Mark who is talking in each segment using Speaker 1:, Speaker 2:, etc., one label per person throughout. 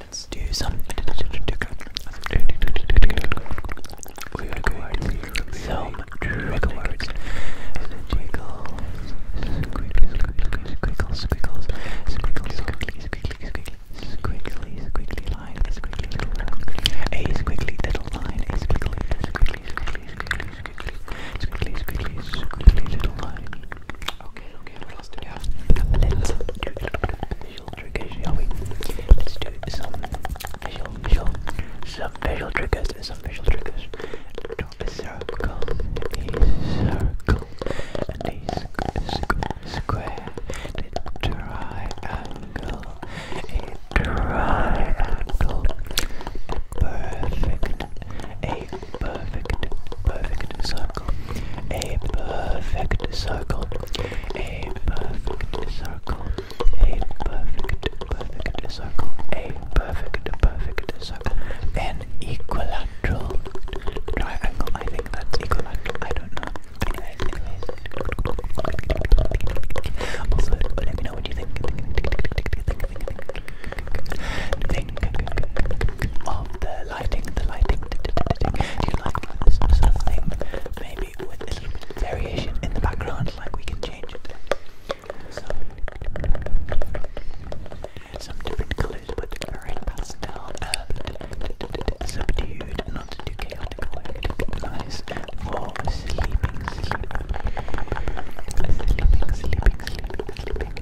Speaker 1: Let's do some. We are going to be some trigger words. Squiggles, squiggles, squiggles, squiggles, squiggles, squiggly, squiggly, squiggly, squiggly line, squiggly little line, a squiggly little line, a squiggly, squiggly, squiggly, squiggly, squiggly, squiggly, squiggly little line. Okay, okay, let's do that. Let's do special triggers, shall we? Let's do some special, special, some visual triggers, some special triggers. Draw a circle, a circle, a squ square, a triangle, a triangle, a perfect, a perfect, perfect circle. A perfect circle. A perfect circle. A perfect, perfect circle. A perfect, perfect circle. An equilateral triangle. I think that's equilateral. I don't know. Anyways, anyways. Also, let me know what you think. Think, think, think, think, think, think, think, think, think, think of the uh, lighting, the lighting. If you like this maybe a little variation in the background, like we can change it. some different colours, but very pastel and subdued, not too chaotic. nice for sleeping, sleeping, sleeping, sleeping, sleeping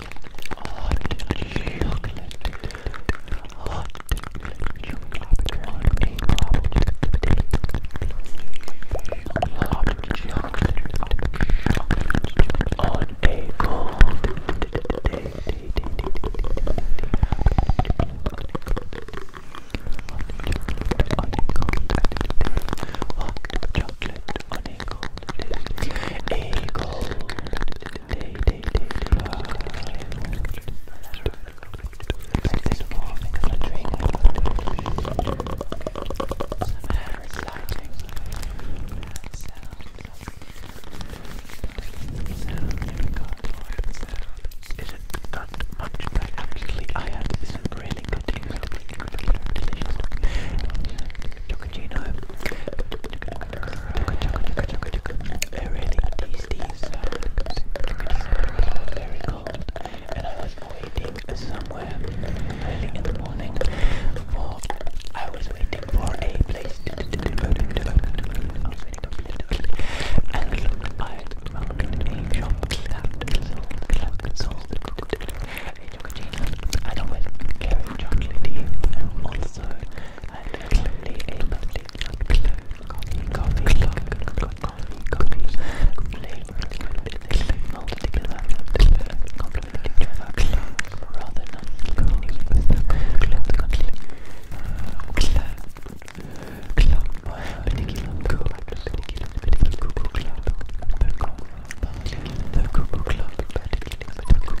Speaker 1: chocolate, on a cold day. Hot chocolate on a cold day. A cold day, day, day, Is it not much, but actually I had this really good incredibly, incredibly delicious Tocino really these these are very cold and I was waiting somewhere early in the morning for I was waiting for a place to I was waiting for a place to and I found a shop that sold that sold a chocolate I don't care chocolate and also and clearly a lovely coffee, coffee, coffee, coffee, coffee flavor. Mold together, complement each other, rather than continue with the continue. Club, club, particular, particular, particular, club, the Google Club, particular, the Google Club, particular, the Google Club.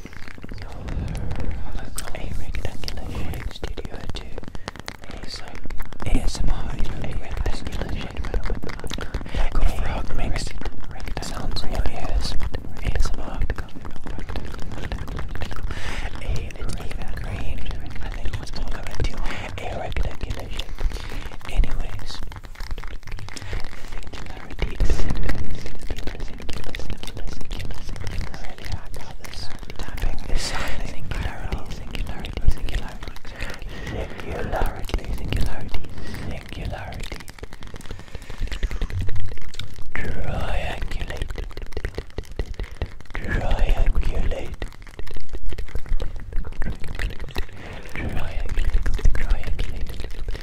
Speaker 1: a rectangular shaped studio to ASM, ASMR, you know, a rectangular shaped like a frog makes sounds in your ASMR, a, it's even I think it's all coming to a rectangular shape, anyways, Singularity Singularity Really, I got this. Tapping is Singularity Singularity Singularity Singularity Singularity Singularity Triangulate Triangulate Triangulate Triangulate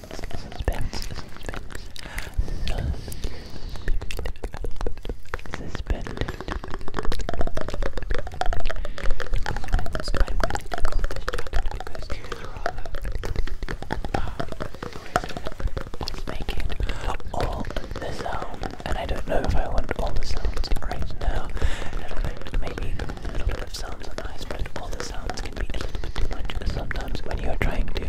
Speaker 1: suspense, suspense, suspended. It's making all the sounds, and I don't know if I want all the sounds right now. Maybe a little bit of sounds are nice, but all the sounds can be a little bit too much. Sometimes when you're trying to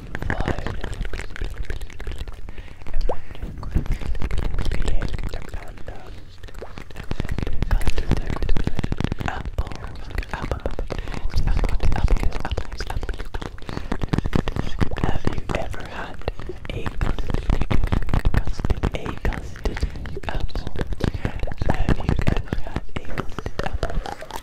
Speaker 1: have you ever had a custard, a custard apple? Have you ever had a custard apple?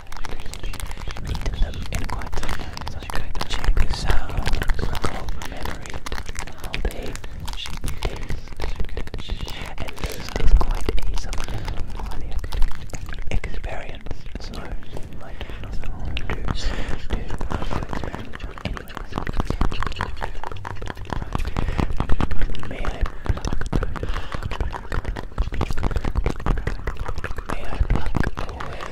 Speaker 1: Eaten them in quite some check this out. Recall from memory how they taste. And taste is quite a subjective experience, so you might not want to May I pluck away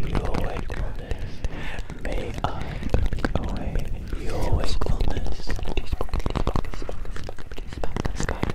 Speaker 1: your wakefulness. May I pluck away your wakefulness. Spark,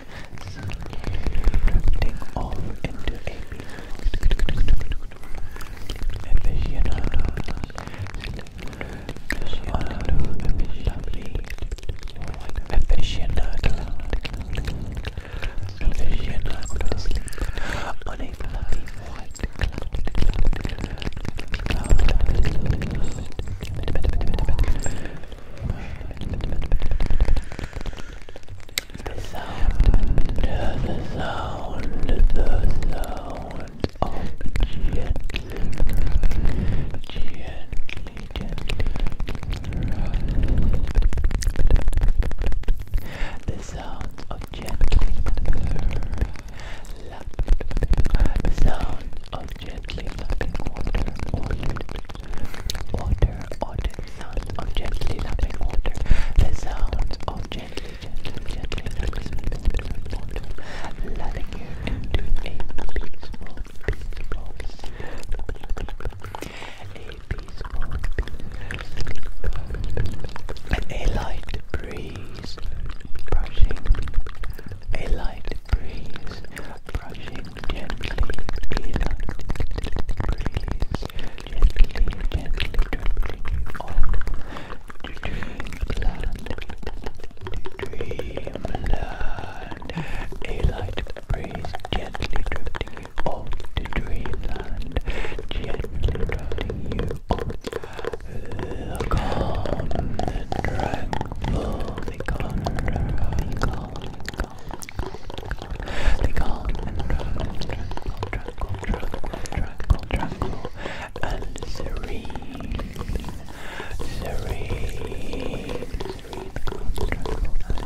Speaker 1: drifting off into a aficionado. Aficionado. Aficionado. Aficionado. On a fluffy white cloud. Cloud. The sound, the sound, the sound of gently, gently, gently The sound of gently lapping, the sound of gently lapping water, Water, water, sound of gently lapping water. The sound of gently, gently, gently lapping water. you into a peaceful, peaceful A peaceful, a light breeze brushing. A light breeze brushing gently peanut breeze gently gently dribbling on to dreamland dreamland a light breeze gently drifting you off to dreamland gently drifting you off the calm the tranquil the calm they called and and serene, serene, the calm, tranquil, and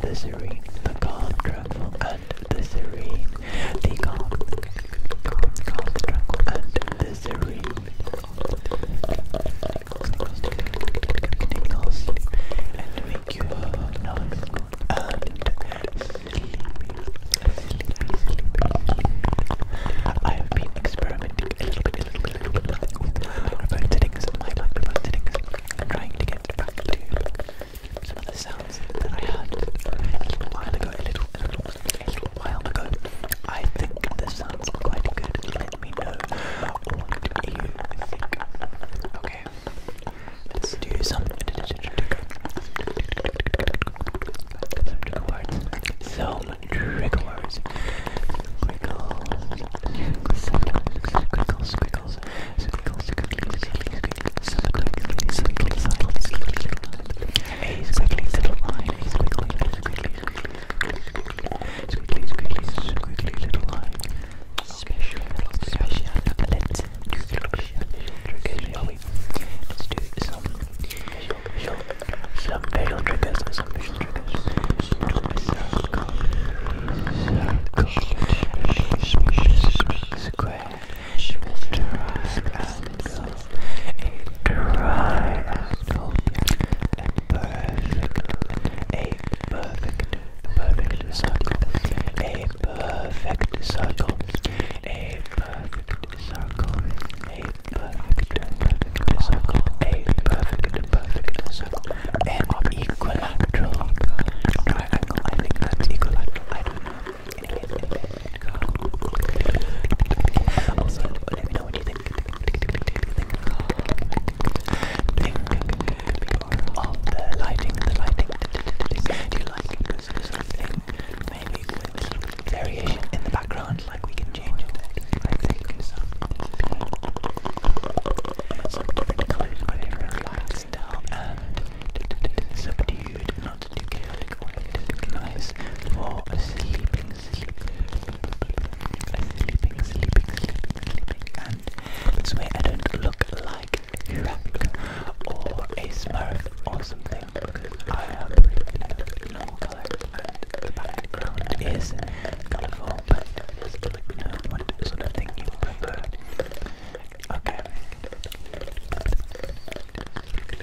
Speaker 1: the serene, the calm, tranquil, and the serene, the calm, calm, calm, tranquil, and the serene, I have been experimenting a little bit, a little bit, a little bit with microphone settings, my trying to get back to some of the sounds that I heard a little while ago, a little, a little a while ago. I think this sounds quite good. Let me know what you think. Okay, let's do some trigger words. Some trigger words. Squiggles, squiggles, squiggles, squiggles, squiggles, squiggles, squiggles, squiggles, squiggles, a squiggly little line, a squiggly, a squiggly, quickly, quickly, quickly, little line. Special, special, let's do triggers, Let's do some special, special, some special triggers, some special triggers. Circle, circle, square, square, square, was a triangle, and perfect, a perfect, perfect circle, a perfect circle, a perfect circle, a perfect, perfect circle, a perfect, perfect circle, an equilateral triangle. I think that's equilateral. I don't know. Anyway, anyway. Also, let me know what you think. the lighting, the lighting. Do you like this sort of thing? Maybe variation in the background, like we can change it. I think some different but different lights and subdued, not too chaotic, or too nice for a sleeping sleeping, sleeping, sleeping, and swear I don't look like a or a smurf or something because I am in a normal colour and the background is colourful, but just to let me know what Okay.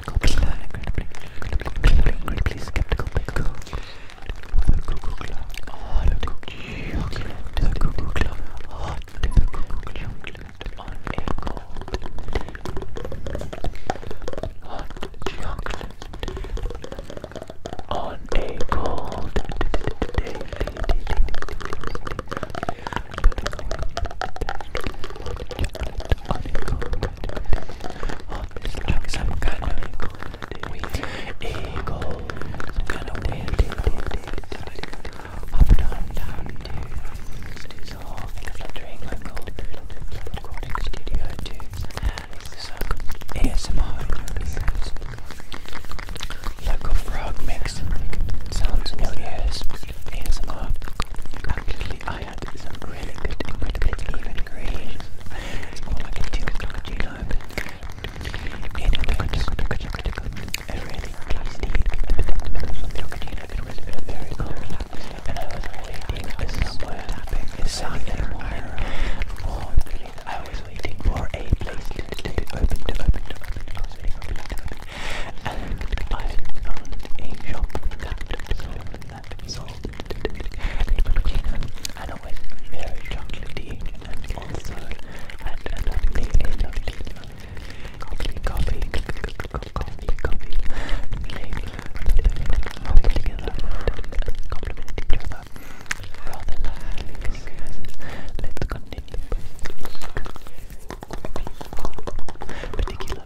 Speaker 1: skeptical, incredibly, incredibly, incredibly skeptical pickle. The cuckoo club, hot chocolate. The cuckoo club, hot chocolate on a cold. Hot chocolate on a cold day. Hot chocolate some kind of wheat, eagle, some kind of wind, up down, down, to so I'm fluttering, I'm called recording studio to some ASMR, like a frog mix, sounds in your ears, ASMR, completely I had some really good, incredibly even green. All I can do is look at you know. It a really tasty and deductible milk It was very cool. And I was waiting for somewhere tapping the sun in the morning. Or oh, I was waiting for a place to, to, to open, to open, to open. I was waiting for a place to open. And I found a shop that sold that resulted in and always very chocolatey and also and and lovely, lovely, coffee, coffee, coffee, coffee, flavor, together and complement each other rather like let's continue particular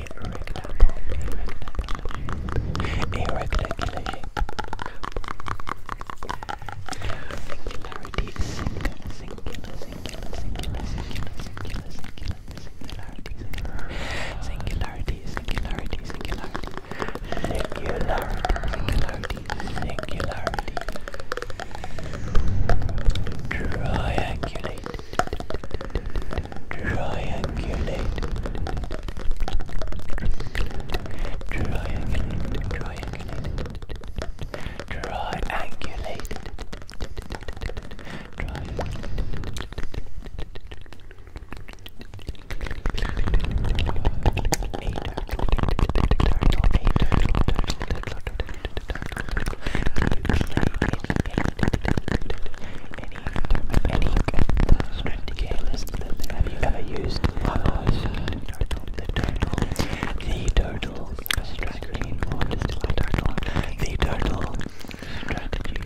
Speaker 1: irregular shape. Singularity, singular, singular, singular, singular, singular, singular, singularity, singularity, singularity, singularity, singularity, singularity, singularity, triangulate triangulate, triangulate, triangulate, triangulate, any, any strategy list have you ever used? I've used the turtle, the turtle strategy, or just the turtle, the turtle strategy.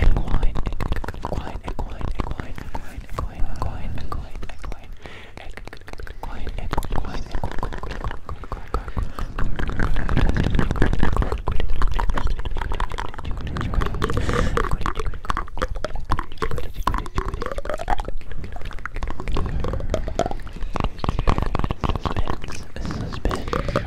Speaker 1: Equine, equine, equine, equine, equine, equine, equine, equine, equine, and quiet and quiet and Suspense. Suspense.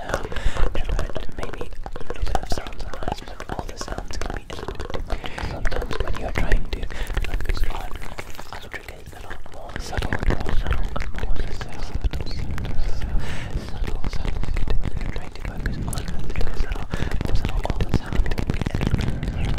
Speaker 1: um, and maybe a little bit of sounds and lights, but all the sounds can be a little bit much. Sometimes when you're trying to focus on other triggers that are more subtle, more subtle, more subtle, subtle, subtle, subtle, when you're trying to focus on other triggers that are more subtle, all the sound can be a little bit and very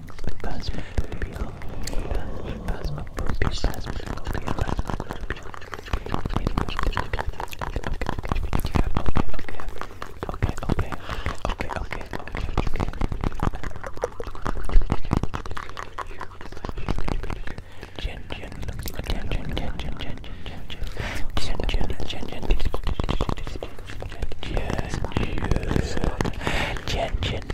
Speaker 1: Jen, Jen,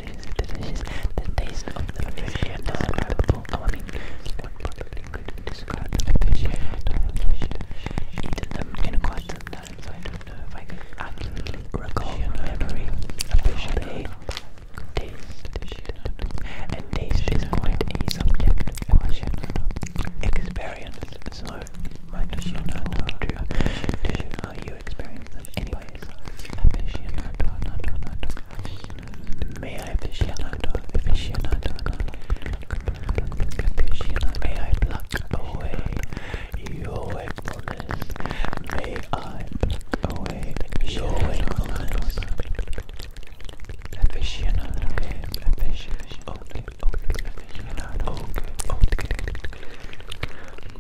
Speaker 1: delicious, delicious. The taste of the fish is indescribable. Oh, I mean, probably could describe the fish. I eaten them in quite some time, so I don't know if I could accurately recall memory of fish they taste. And taste is quite a subject question. Experience, so might not know how you to experience them anyways. May I aficionado, aficionado, aficionado. May I pluck away your wakefulness. May I pluck away your wakefulness. Aficionado, okay, okay, okay, okay.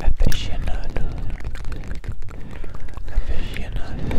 Speaker 1: Aficionado. Aficionado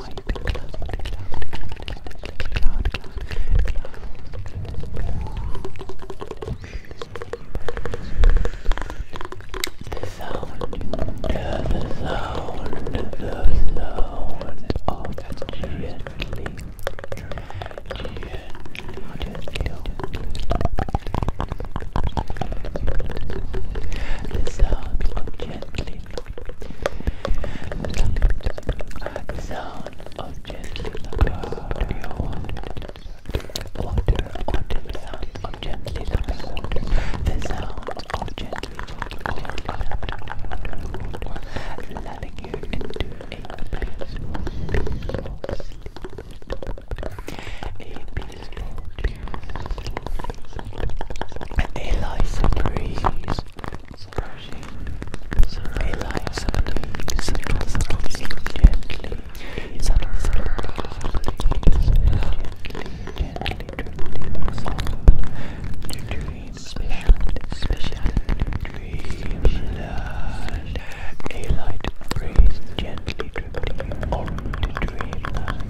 Speaker 1: The sound, the sound, the sound of gently, gently, gently, the sound of gently at the sound of gentle lapping water. Water, the sound of gently lapping water. The sound of gently, gently lapping water. Letting you into a peaceful, A peaceful, Eliza breeze. Eliza breeze. Gently. Eliza breeze. Gently. Gently. Dream. Special. Special. Dream. A light breeze gently dribbling on the dreamland.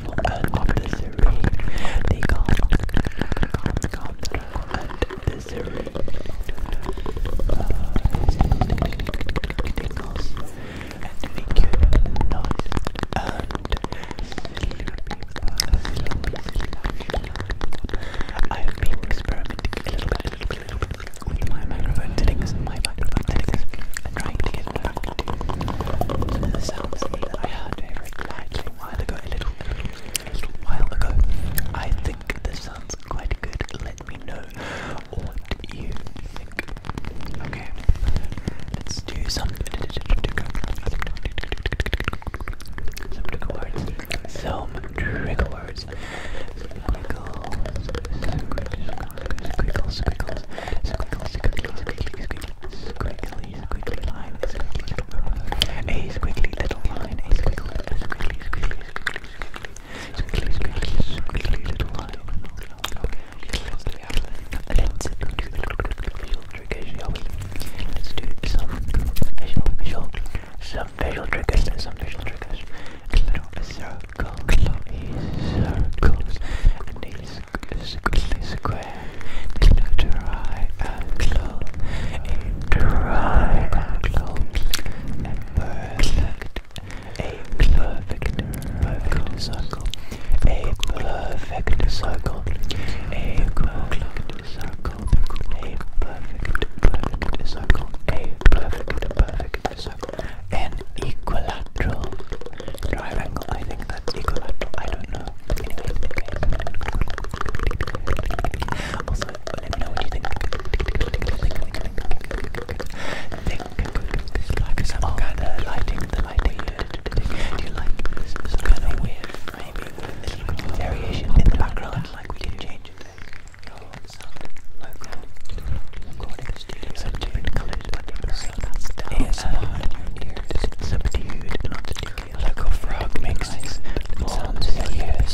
Speaker 1: and of the serene, the calm, calm, calm, and the serene. Uh, and make you nice and sleepy, sleepy, sleepy. I have been experimenting a little bit, a little bit, a little and trying to get back so the that I heard very lightly a while ago, a little, a little while ago. I think this sounds quite good. Let me know what you think. Okay, let's do some. words. Some words. Some words squiggles, squiggles, squiggles, squiggly, squiggly, squiggly, squiggly line, squiggly little burrow, a squiggly little line, a squiggly, squiggly, squiggly, squiggly, squiggly, squiggly, squiggly little line. Let's do visual triggers, shall we? Let's do some visual, visual, some visual triggers, some visual triggers. So, circles, so easy circles, and these squiggly square, they look dry and close, a dry and close, a perfect, a perfect, perfect circle, a perfect circle, a perfect circle, a perfect, perfect circle, a perfect, perfect circle an equilateral triangle. I think that's equilateral. I don't know. Anyway, okay. Also, let know what you think. like some oh, kind lighting. The lighting. Do you like this? weird, maybe little variation in the background? Like we can change it. Oh, sound local studios have different colours when Subdued and articulate. frog makes sounds in your ears.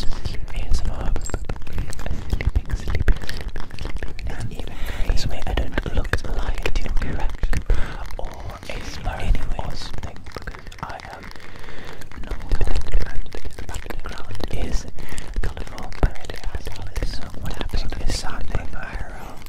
Speaker 1: ASMR. Sleeping, sleeping, sleeping, this way I don't look like a crack or a smart or something I am um, not and the background is colourful but what happens is something viral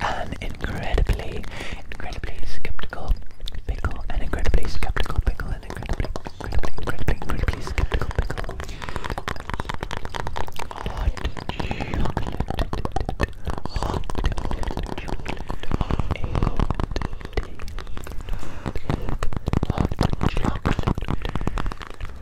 Speaker 1: an incredibly, incredibly skeptical pickle, an incredibly skeptical pickle, an incredibly, incredibly, incredibly, incredibly skeptical pickle. Hot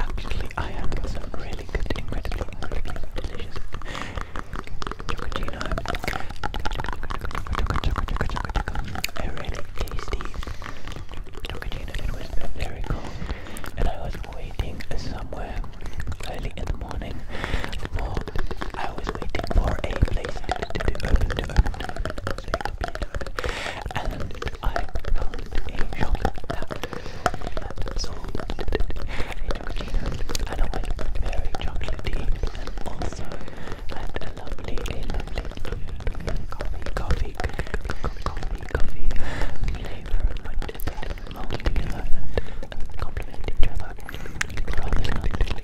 Speaker 1: Actually, I had some really good, incredibly, incredibly delicious chocolatino. A really tasty chocolatino that very cold, and I was waiting somewhere early in the morning I was waiting for a place to, to, to open, to open, to open, to open, to open, and I found a shop that sold a chocolate and a white berry chocolatey, and also had a lovely, a lovely coffee, coffee, coffee, coffee flavor, but that mold together and complement each other rather than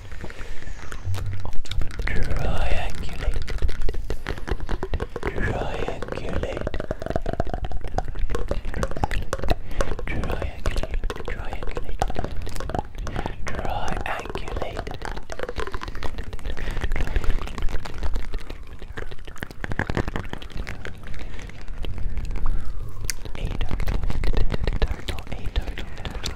Speaker 1: Triangulate. Triangulate. Triangulate. Triangulate. Triangulate. A total,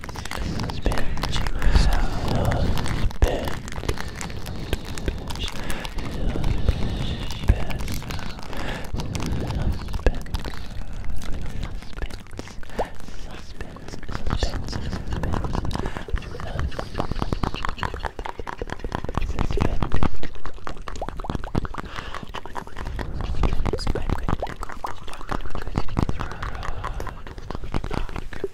Speaker 1: Pinching myself, pinch, pinch, Good,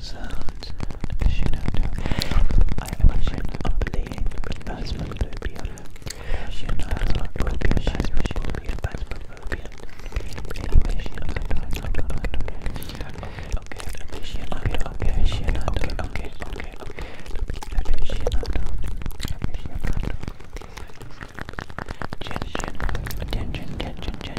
Speaker 1: sounds should I am a phasmophobia, I'm talking about.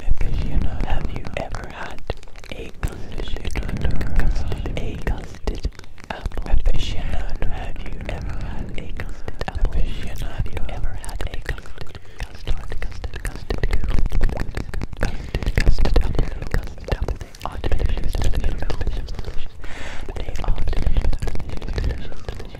Speaker 1: Because you know, have you ever had a custard, a custard apple? Because you know, have you ever had a custard apple? Because you know, have you ever had a custard, custard, custard, custard, custard, custard apple, custard apple? They are delicious, delicious, delicious, delicious. They are delicious, delicious, delicious, delicious.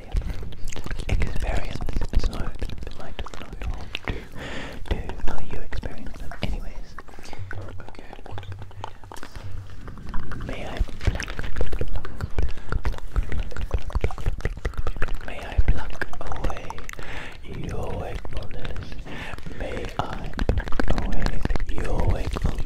Speaker 1: Australia. It not like not normal to to you experience Anyways. May I pluck May I pluck away your wakefulness. May I pluck away your wakefulness.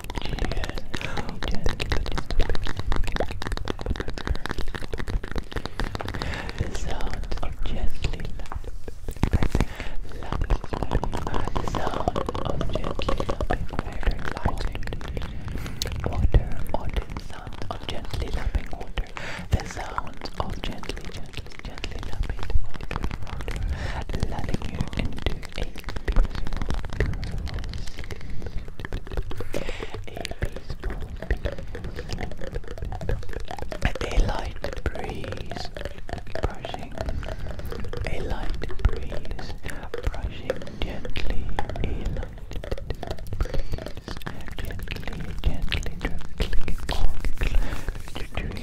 Speaker 1: The sound of gently the sound of gently lapping water lighting water sound of gently lapping water the sound of gently gently gently lapping water water you into a light breeze brushing, a light breeze brushing gently, a light breeze gently, gently, gently, gently, dream, dream,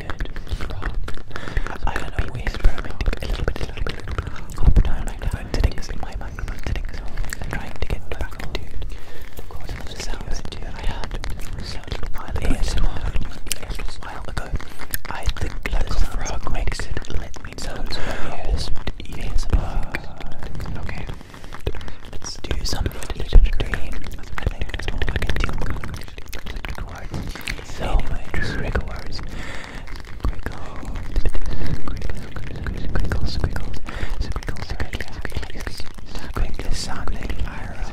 Speaker 1: good. I don't know, we're experimenting a little bit, a little bit, a little bit. Up down, like down, settings, my microphone settings. I'm trying to get back into of the sounds that I had. a little while ago, a little while ago, I think the frog makes it let me know. okay. Let's do something to entertain. I so many trigger words. Squiggles, squiggles, squiggles, squiggles, squiggles, squiggles, sounding IRL.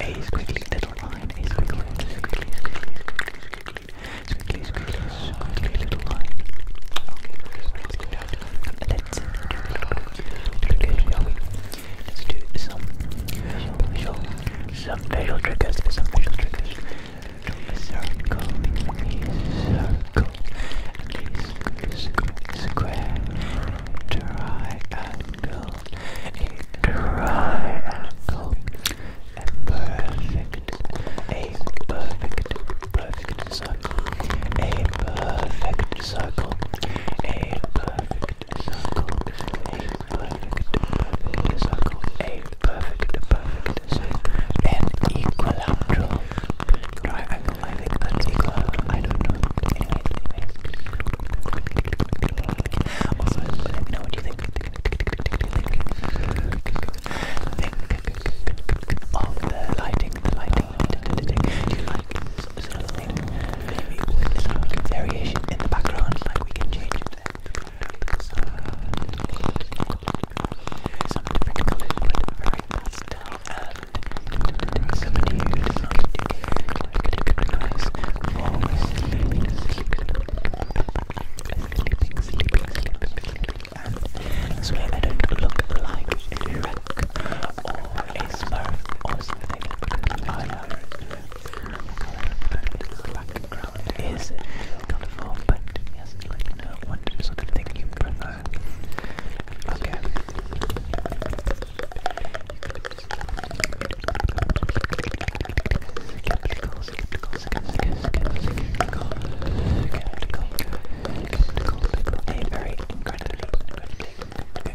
Speaker 1: A squiggly little line, a squiggly, squiggly, squiggly, squiggly, squiggly, squiggly little line. Okay, let's go down. Let's go down. Let's do some facial, some facial triggers, some facial triggers. Circle, circle, square, triangle, triangle, a perfect, a perfect, perfect circle, a perfect circle, a perfect equilateral triangle. I think that's equilateral. I don't know. Anyway, anyways. Also, let me know what you think. Think of the lighting, the lighting. Do you like this sort of thing? maybe there's a good variation in the background, like we can change it there. So, some different colours, but very pastel and some new design to give like a nice warm sleep, sleep, sleeping, sleeping, sleeping, and this way they don't look like a wreck or a smurf or something, because I have the background is colorful, but yes, let me know what sort of thing you prefer. Okay. A very incredibly, incredibly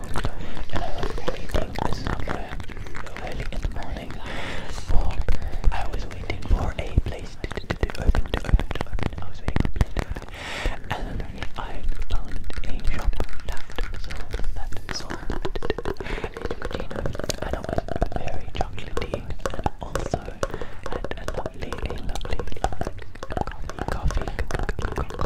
Speaker 1: and I was waiting somewhere early in the morning for, I was waiting for a place to, to, to, to open, to open, to open, I was waiting for a place to open, and I found a shop that sold, that sold, cappuccino, and it was very chocolatey, and also had a lovely, a lovely, lovely coffee, coffee, coffee, coffee,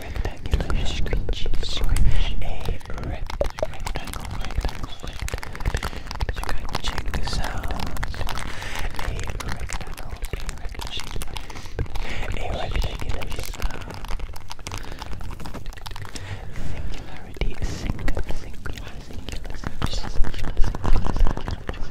Speaker 1: rectangular screechy A rectangle, rectangle, rectangle. You gotta check this out. A rectangle, a rectangular sound. Singularity, singular, singular, singular, singular,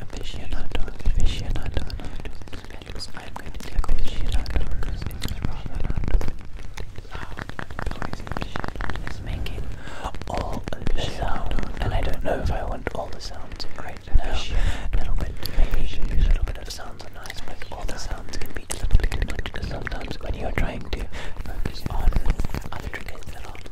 Speaker 1: aficionado, aficionado, I'm going to take aficionado because it's rather loud. It's making all the sound, and I don't know if I want all the sounds right now. A little bit, maybe a little bit of sounds are nice, but all the sounds can be a little bit too much. Sometimes when you're trying to focus on other triggers that are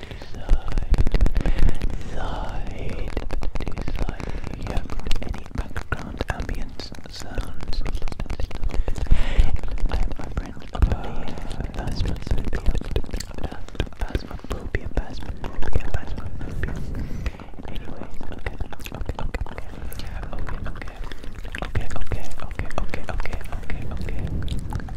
Speaker 1: side to side. You don't need any background ambience sounds. I have my friend Lottie, Basman Sophia, Basman Phobia, Basman Phobia, Basman Phobia. Anyway, okay, okay, okay, okay. Okay, okay, okay, okay, okay, okay, okay, okay, okay.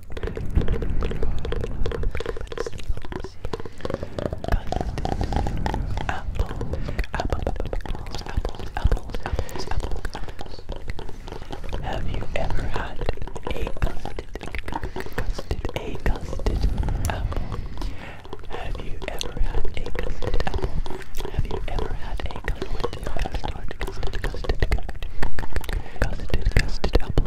Speaker 1: apples. Have you ever had a custard, custard, a custard apple? Have you ever had a custard apple? Have you ever had a custard, custard, custard, custard, custard, custard, custard apple?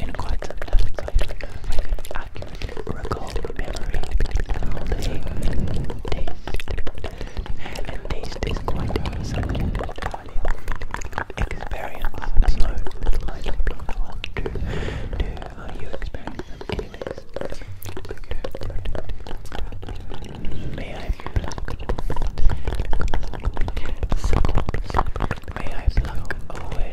Speaker 1: in quite some time, so I don't know if I can accurately recall quite something experience. So I don't to uh, you experience them. Uh, May I pluck? May I pluck away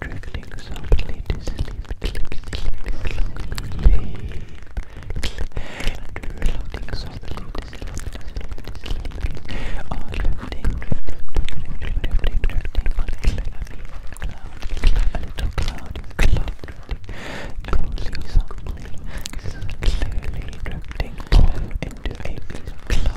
Speaker 1: trickling softly to sleep, sleep, sleep, sleep, and floating softly to sleep, or drifting, drifting, drifting, drifting, drifting, a little cloud, a little cloud, cloud drifting, softly, softly, clearly drifting into a cloud.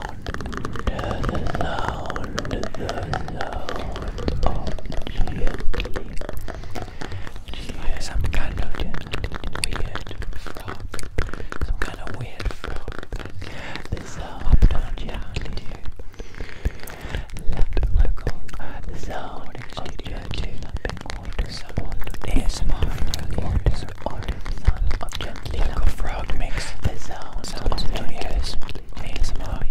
Speaker 1: sound, the sound, the sound of gently, gently, some kind of weird frog, some kind of weird frog, the sound of gently, let my go, the sound of gently, nothing more to someone, ASMR, the order, order, sound of gently. Little, little frog makes the sound of tornadoes ASMR,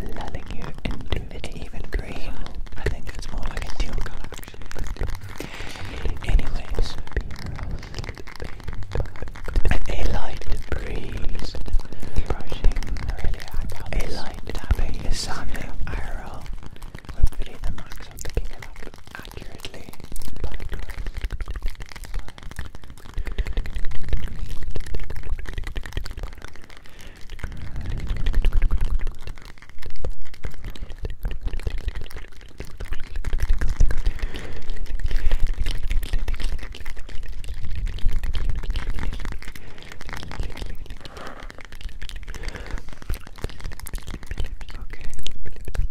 Speaker 1: lulling you into it's even green. I think it's more like a teal color. a light breeze brushing really A light tapping is sounding I roll. Hopefully the marks of accurately black, black,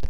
Speaker 1: Okay.